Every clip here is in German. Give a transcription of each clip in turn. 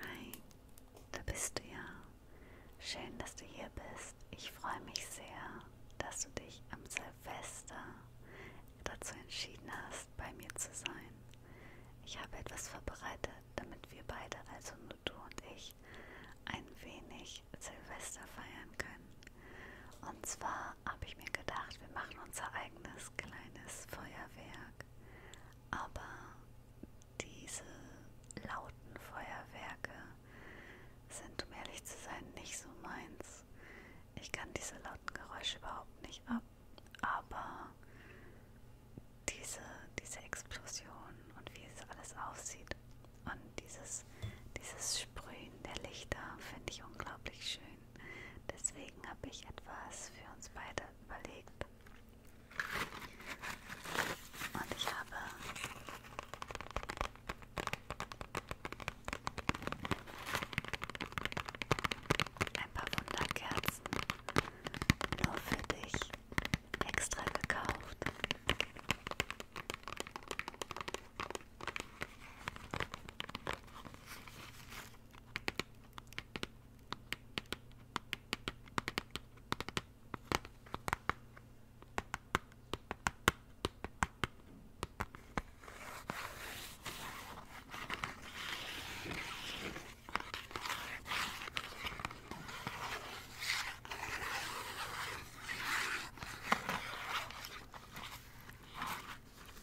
Hi, da bist du ja. Schön, dass du hier bist. Ich freue mich sehr, dass du dich am Silvester dazu entschieden hast, bei mir zu sein. Ich habe etwas vorbereitet, damit wir beide, also nur du und ich, euch ein wenig Silvester feiern können. Und zwar habe ich mir gedacht, wir machen unser eigenes kleines Feuerwerk. Aber diese lauten Feuerwerke sind, um ehrlich zu sein, nicht so meins. Ich kann diese lauten Geräusche überhaupt nicht ab. Aber diese, diese Explosion und wie es alles aussieht. Und dieses, dieses Sprühen der Lichter finde ich unglaublich schön. Deswegen habe ich etwas für uns beide überlegt. Und ich habe ein paar Wunderkerzen nur für dich extra gekauft.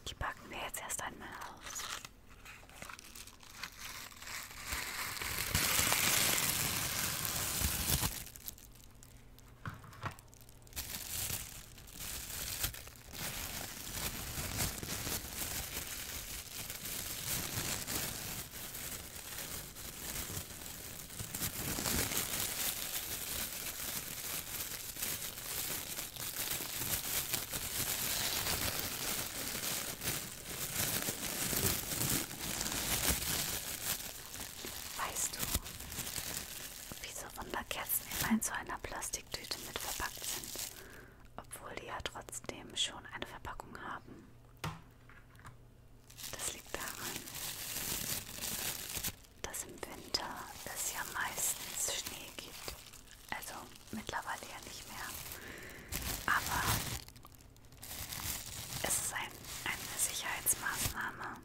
Die packen wir jetzt erst einmal aus. Weißt du, wieso Wunderkerzen immer in so einer Plastiktüte mit verpackt sind, obwohl die ja trotzdem schon eine Verpackung haben? Das liegt daran, dass im Winter es ja meistens Schnee gibt. Also mittlerweile ja nicht mehr. Aber es ist ein, eine Sicherheitsmaßnahme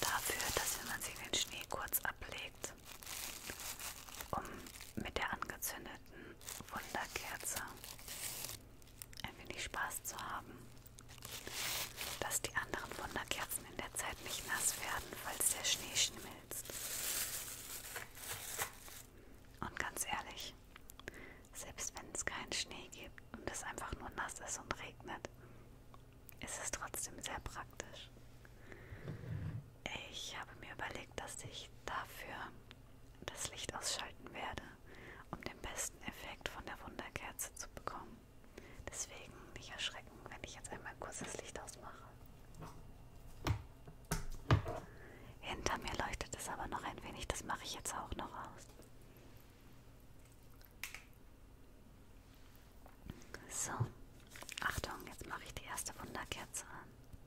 dafür, dass wenn man sich den Schnee kurz ablegt, um mit der angezündeten Wunderkerze ein wenig Spaß zu haben, dass die anderen Wunderkerzen in der Zeit nicht nass werden, falls der Schnee schmilzt. Und ganz ehrlich, selbst wenn es keinen Schnee gibt und es einfach nur nass ist und regnet, ist es trotzdem sehr praktisch. Ich habe mir überlegt, dass ich dafür das Licht ausschalten werde um den besten Effekt von der Wunderkerze zu bekommen. Deswegen nicht erschrecken, wenn ich jetzt einmal kurz das Licht ausmache. Hinter mir leuchtet es aber noch ein wenig, das mache ich jetzt auch noch aus. So, Achtung, jetzt mache ich die erste Wunderkerze an.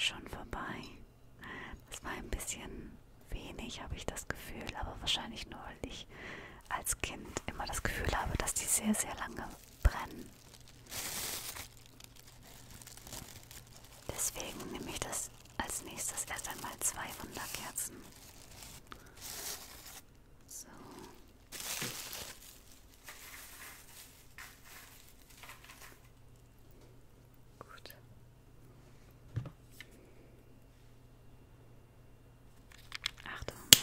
Schon vorbei. Das war ein bisschen wenig, habe ich das Gefühl, aber wahrscheinlich nur, weil ich als Kind immer das Gefühl habe, dass die sehr, sehr lange brennen. Deswegen nehme ich das als nächstes erst einmal zwei Wunderkerzen. So. Gut. Achtung.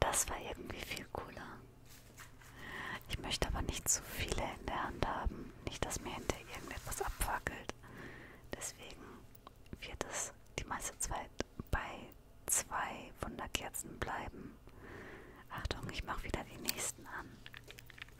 Das war irgendwie viel cooler. Ich möchte aber nicht zu viele in der Hand haben. Nicht, dass mir hinter irgendetwas abfackelt. Deswegen wird es die meiste Zeit bei zwei Wunderkerzen bleiben. Achtung, ich mache wieder die nächsten an.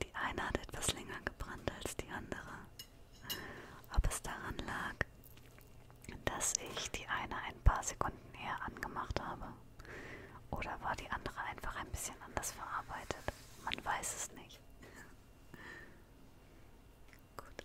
Die eine hat etwas länger gebrannt als die andere. Ob es daran lag, dass ich die eine ein paar Sekunden eher angemacht habe. Oder war die andere einfach ein bisschen anders verarbeitet? Man weiß es nicht. Gut.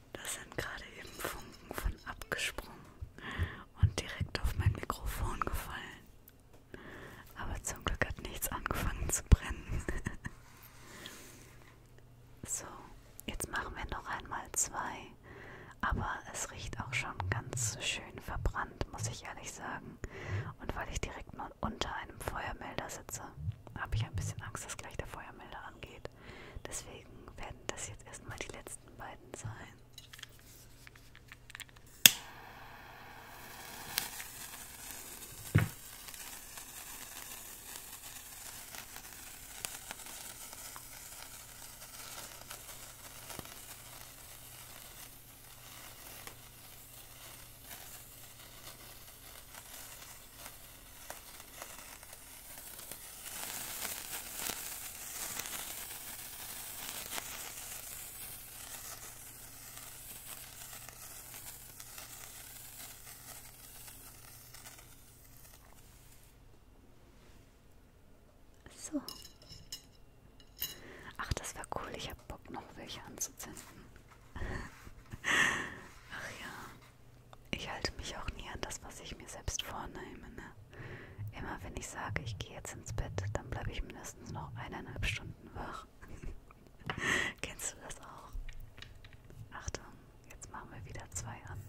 Da sind gerade eben Funken von abgesprungen und direkt auf mein Mikrofon gefallen. Aber zum Glück hat nichts angefangen zu brennen. so, jetzt machen wir noch einmal zwei. Aber es riecht auch schon ganz schön verbrannt, muss ich ehrlich sagen. Und weil ich direkt nur unter einem Feuermelder sitze, habe ich ein bisschen Angst, dass gleich der Feuermelder angeht. Deswegen werden das jetzt erstmal die letzten beiden sein. So. Ach, das war cool. Ich habe Bock, noch welche anzuzünden. Ach ja ich halte mich auch nie an das, was ich mir selbst vornehme. Ne? Immer wenn ich sage, ich gehe jetzt ins Bett, dann bleibe ich mindestens noch eineinhalb Stunden wach. Kennst du das auch? Achtung, jetzt machen wir wieder zwei an.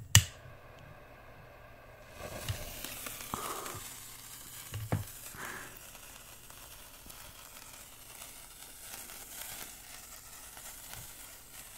Oh.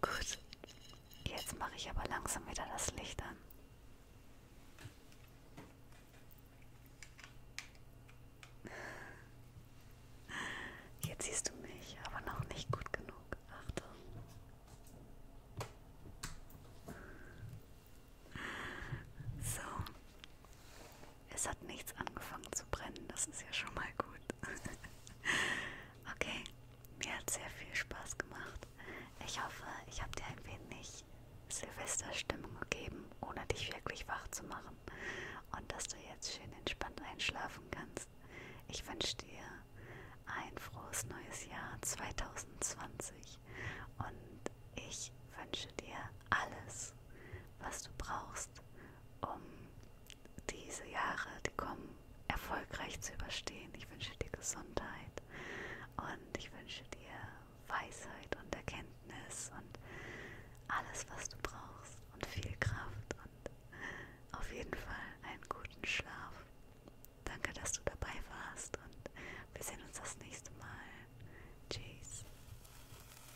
Gut. Jetzt mache ich aber langsam wieder das Licht an. Jetzt siehst du mich, aber noch nicht gut genug. Achtung. So. Es hat nichts angefangen zu brennen, das ist ja schon mal gut. Okay, mir hat sehr viel Spaß gemacht. Ich hoffe, ich habe dir ein wenig Silvesterstimmung gegeben, ohne dich wirklich wach zu machen. Und dass du jetzt schön entspannt einschlafen kannst. Ich wünsche dir ein frohes neues Jahr 2020 und ich wünsche dir alles, was du brauchst, um diese Jahre, die kommen, erfolgreich zu überstehen. Ich wünsche dir Gesundheit und ich wünsche dir Weisheit und Erkenntnis und alles, was du brauchst und viel Kraft und auf jeden Fall einen guten Schlaf. Danke, dass du dabei warst und wir sehen uns das nächste Mal. Tschüss.